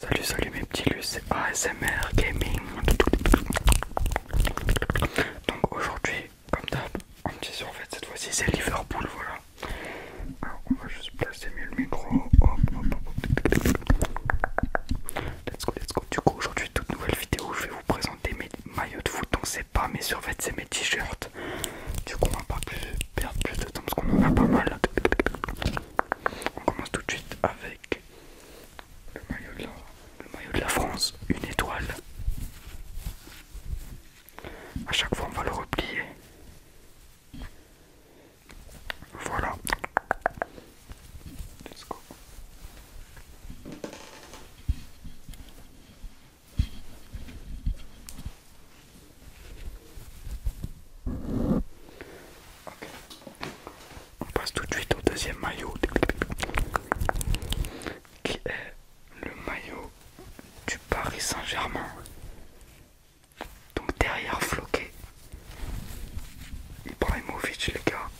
Salut salut mes petits lus, c'est ASMR Gaming Donc aujourd'hui, comme d'hab, un petit survêt cette fois-ci c'est Liverpool voilà Alors on va juste placer le micro hop, Let's go let's go Du coup aujourd'hui toute nouvelle vidéo je vais vous présenter mes maillots de foot Donc c'est pas mes survêts c'est mes t-shirts Du coup on va pas perdre plus de temps parce qu'on en a pas mal on commence tout de suite avec le maillot de la, France, une étoile. A chaque fois on va le replier. Voilà. Let's go. On passe tout de suite au deuxième maillot qui est le maillot du Paris Saint-Germain. Donc derrière floqué. prend les gars.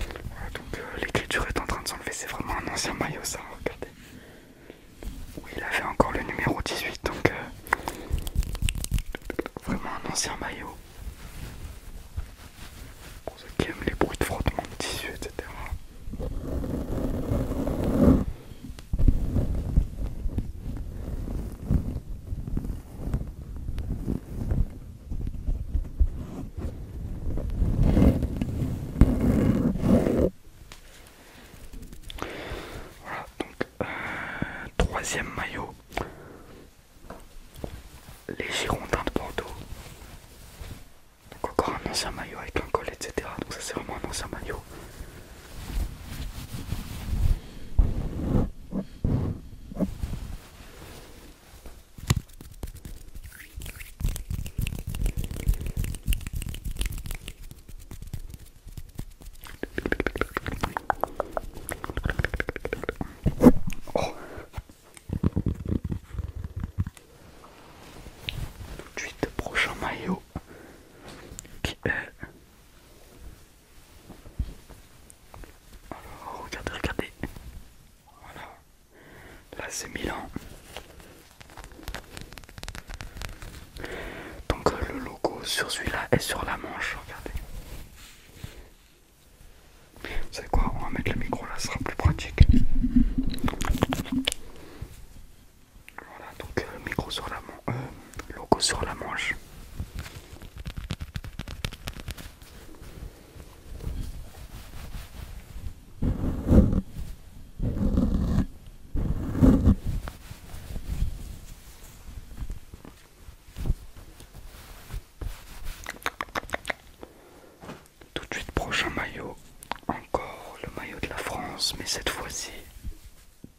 Euh, donc euh, l'écriture est en train de s'enlever, c'est vraiment un ancien maillot ça, regardez où il avait encore le numéro 18, donc euh, vraiment un ancien maillot. Pour ceux qui aiment les bruits de frottement de tissu, etc. Voilà, donc euh, troisième maillot, les Girondins de Bordeaux. Donc encore un ancien maillot avec un col, etc. Donc ça c'est vraiment un ancien maillot. Tout oh. de suite, prochain maillot qui est. Alors, regardez, regardez. Voilà. Là c'est Milan. Donc euh, le logo sur celui-là est sur la manche, regardez. C'est quoi, on va mettre le micro là, ce sera plus pratique. Voilà, donc le euh, micro sur la euh, logo sur la manche. Tout de suite prochain maillot, encore le maillot de la France, mais cette fois-ci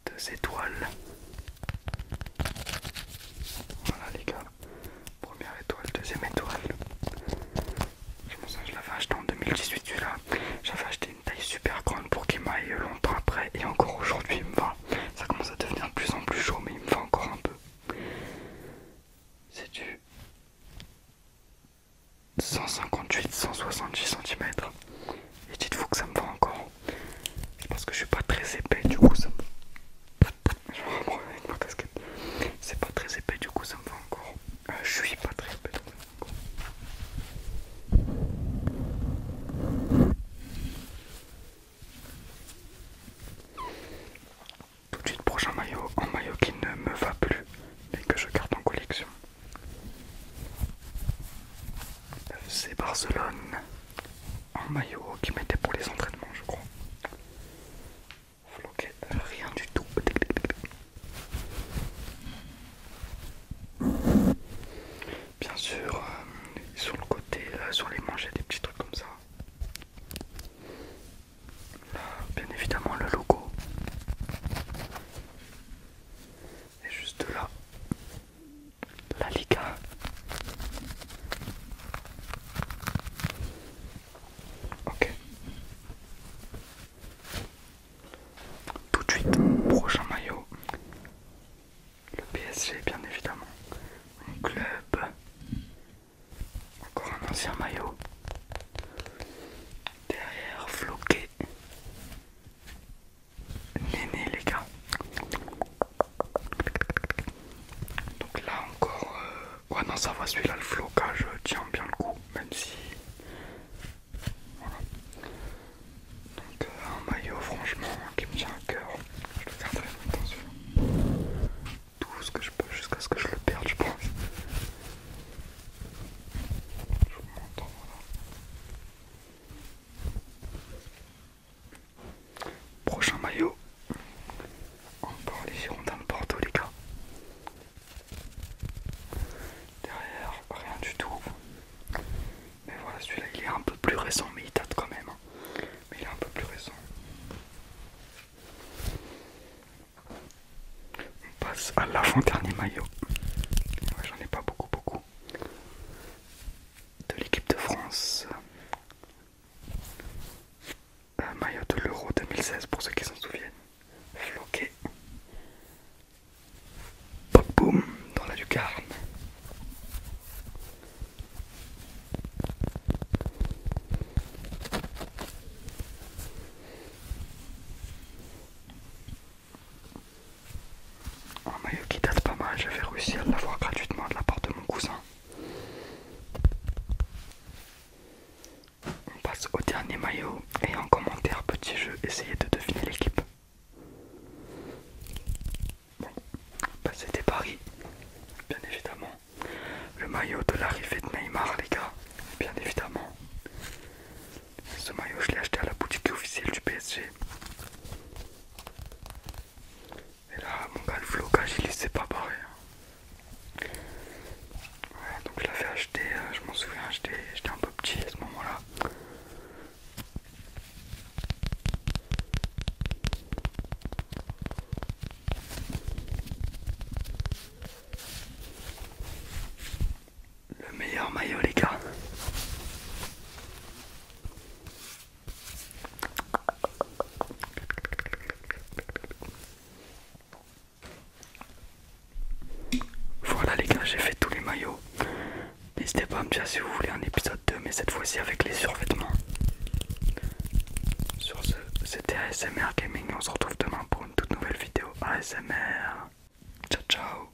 deux étoiles. Voilà les gars, première étoile, deuxième étoile. Je je l'avais acheté en 2018 là J'avais acheté une taille super grande pour qu'il m'aille longtemps après et encore aujourd'hui il me va. Ça commence à devenir de plus en plus chaud mais il me va encore un peu. C'est du 158-170 cm. Et dites-vous que ça me va encore. C'est parce que je suis pas très épais du coup ça me... Je vais avec ma casquette. C'est pas très épais du coup ça me va euh, je suis pas très peu Tout de suite, prochain maillot, un maillot qui ne me va plus et que je garde en collection. C'est Barcelone, en maillot qui m'était pour les entraînements, je crois rien du tout. Bien sûr, euh, sur le côté, euh, sur les manches, il y a des petits trucs comme ça. bien évidemment, le logo. Et juste là, la Liga. Ok. Tout de suite, prochain maillot. Le PSG, bien évidemment. Mon club. Encore un ancien maillot. Derrière, floqué. Néné, les gars. Donc là encore, euh, ouais non ça va celui-là le je euh, tiens bien le coup, même si voilà. Donc euh, un maillot franchement qui me tient à cœur, je le garderai attention Tout ce que je peux jusqu'à ce que je le perde je pense. Je vous montre, voilà. Prochain maillot. Encore les Girondins de Porto, les gars. Derrière, rien du tout. Mais voilà, celui-là, il est un peu plus récent, mais il date quand même. Hein. Mais il est un peu plus récent. On passe à l'avant-dernier maillot. J'en ai pas beaucoup, beaucoup. De l'équipe de France. Un maillot de l'Euro 2016 pour ceux qui s'en souviennent. Floqué. Pop dans la lucarne. Un oh, maillot qui date pas mal, vais réussir à l'avoir gratuitement de la part de mon cousin. On passe au dernier maillot et en commentaire petit jeu, essayez de deviner l'équipe. Bah, c'était Paris, bien évidemment. Le maillot de l'arrivée de Neymar les gars, bien évidemment. Ce maillot je l'ai acheté à la boutique officielle du PSG. Et là, mon gars, le flocage, il s'est pas barré. Hein. donc je l'avais acheté, euh, je m'en souviens, j'étais un peu petit à ce moment-là. Le meilleur maillot les gars voilà les gars, j'ai fait tous les maillots. N'hésitez pas à me dire si vous voulez un épisode 2, mais cette fois-ci avec les survêtements. Sur ce, c'était ASMR Gaming. On se retrouve demain pour une toute nouvelle vidéo ASMR. Ciao ciao